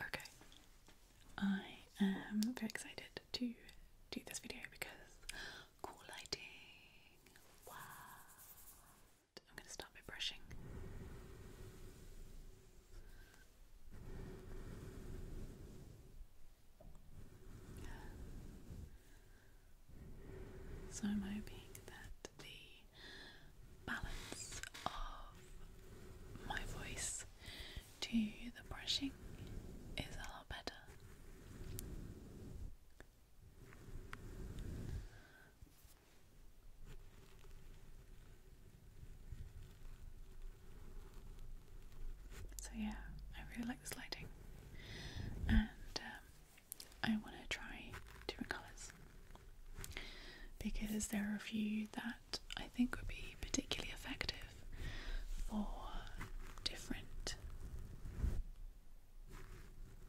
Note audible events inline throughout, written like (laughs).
Okay, I am very excited to do this video because cool lighting. What? I'm going to start by brushing. So I'm hoping that the balance of my voice to the brushing is a lot better. So yeah, I really like this lighting, and um, I want to try different colours because there are a few that I think would be particularly effective for different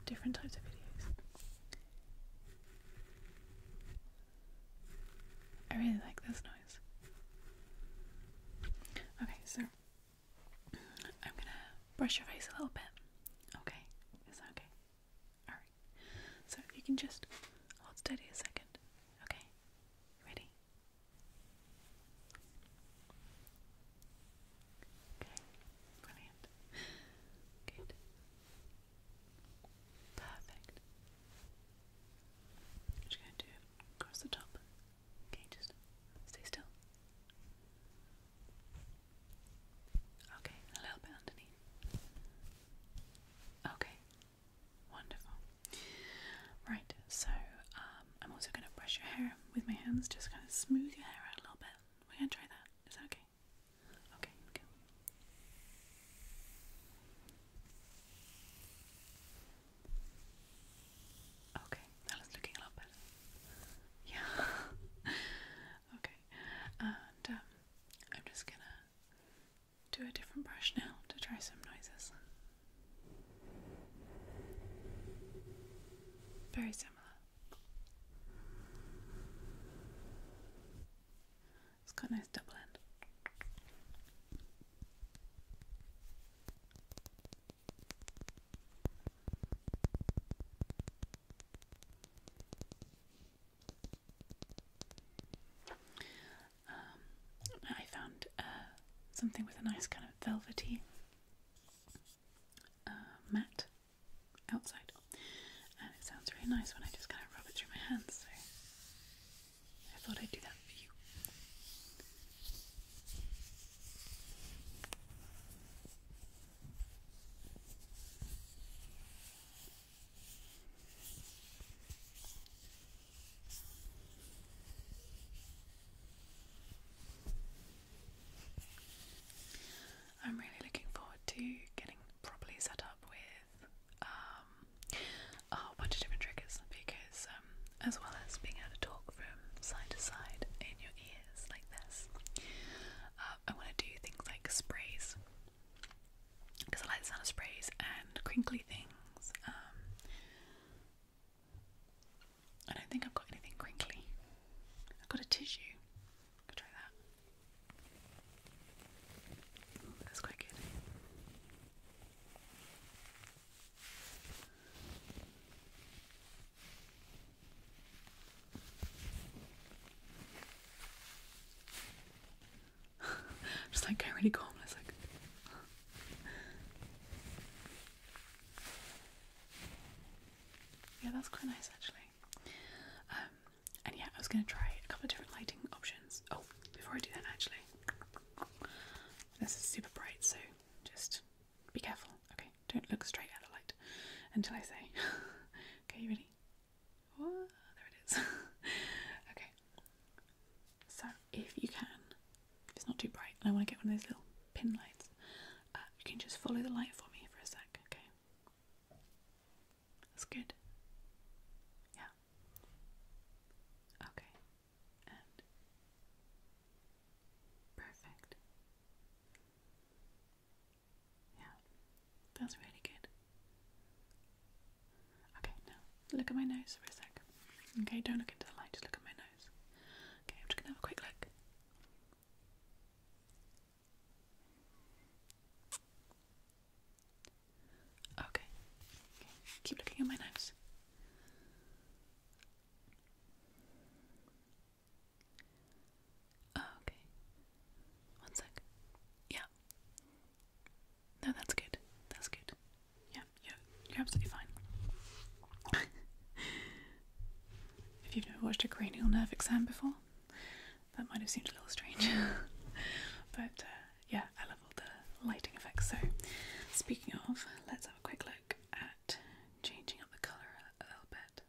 different types of videos. I really like this noise. Okay, so mm, I'm gonna brush your face a little bit. Okay, is that okay? Alright. So you can just hold steady a second. Okay? Ready? Okay. Brilliant. Good. Perfect. I'm just going to do across the top. Okay, just stay still. Okay, a little bit underneath. Okay, wonderful. Right, so um, I'm also going to brush your hair with my hands, just kind of smooth your hair out a little bit. We're going to try that. Is that okay? Okay, Okay. Okay, that is looking a lot better. Yeah. (laughs) okay, and um, I'm just gonna do a different brush now to try some noises. Very similar. It's got a nice double end. Um, I found uh, something with a nice kind of velvety uh, matte outside, and it sounds really nice when I just kind of rub it through my hands. So I thought I'd do that for you. I'm really looking forward to getting properly set up with um, a bunch of different triggers because um, as well as being able to talk from side to side in your ears like this. Uh, I want to do things like sprays because I like the sound of sprays and crinkly things. Um, I don't think I've got anything crinkly. I've got a tissue. I'll try that. that's quite good. (laughs) Just like going really calm it's like Yeah, that's quite nice actually. Um, and yeah, I was gonna try a couple of different lighting options. Oh, before I do that actually. This is super bright, so just be careful. Okay, don't look straight at the light until I say. (laughs) okay, ready? there it is. (laughs) okay. So if you can, if it's not too bright, and I want to get one of those little pin lights, uh, you can just follow the light for me for a sec. Okay. That's good. Yeah. Okay perfect. Yeah, that's really good. Okay, now look at my nose for a sec. Okay, don't look into the light, just look at my nose. Okay, I'm just gonna have a quick look. Okay. Keep looking at my eyes. okay. One sec. Yeah. No, that's good. That's good. Yeah, you you're absolutely fine. (laughs) if you've never watched a cranial nerve exam before, that might have seemed a little strange. (laughs) but uh, yeah, I love all the lighting effects. So, speaking of, let's have a quick look at changing up the colour a little bit.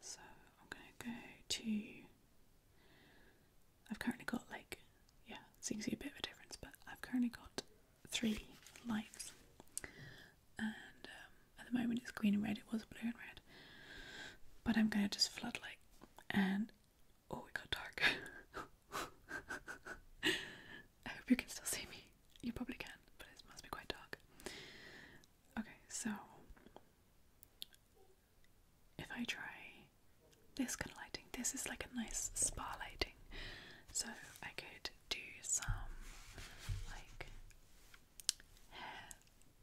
So, I'm gonna go to. I've currently got like, yeah, so you can see a bit of a difference, but I've currently got three lights, and um, at the moment it's green and red, it was blue and red, but I'm gonna just floodlight and Oh, it got dark. (laughs) I hope you can still see me. You probably can, but it must be quite dark. Okay, so if I try this kind of lighting, this is like a nice spa lighting. So I could do some like hair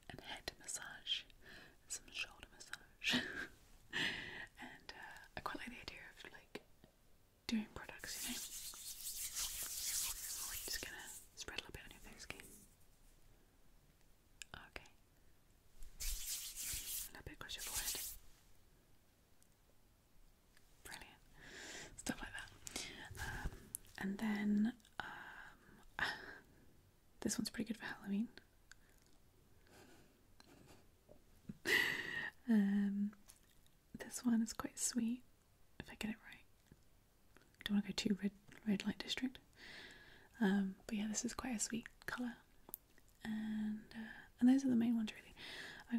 and head massage, some shoulder massage. (laughs) and uh, I quite like the idea of like doing products, Just gonna spread a little bit on your face, okay? A little bit across your forehead. Brilliant. Stuff like that. Um, and then um, (laughs) This one's pretty good for Halloween. (laughs) um, this one is quite sweet, if I get it right. don't want to go too red, red light district. Um, but yeah, this is quite a sweet colour. And uh, and those are the main ones really.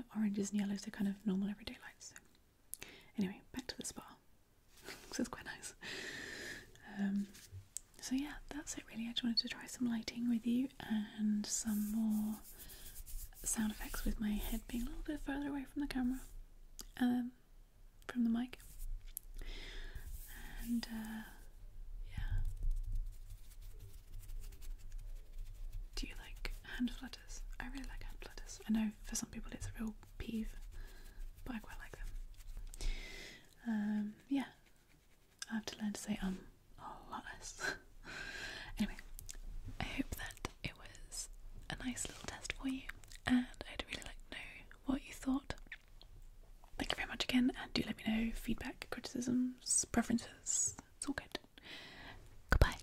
Uh, oranges and yellows are kind of normal everyday lights. So. Anyway, back to the spa so it's quite nice. Um, so yeah, that's it really. I just wanted to try some lighting with you and some more sound effects with my head being a little bit further away from the camera, um, from the mic. And uh, yeah, do you like hand flutters? I really like hand flutters. I know for some people it's a real peeve, but I quite like them. Um, yeah, I have to learn to say um a lot less. (laughs) anyway, I hope that it was a nice little test for you, and I'd really like to know what you thought. Thank you very much again, and do let me know feedback, criticisms, preferences. It's all good. Goodbye.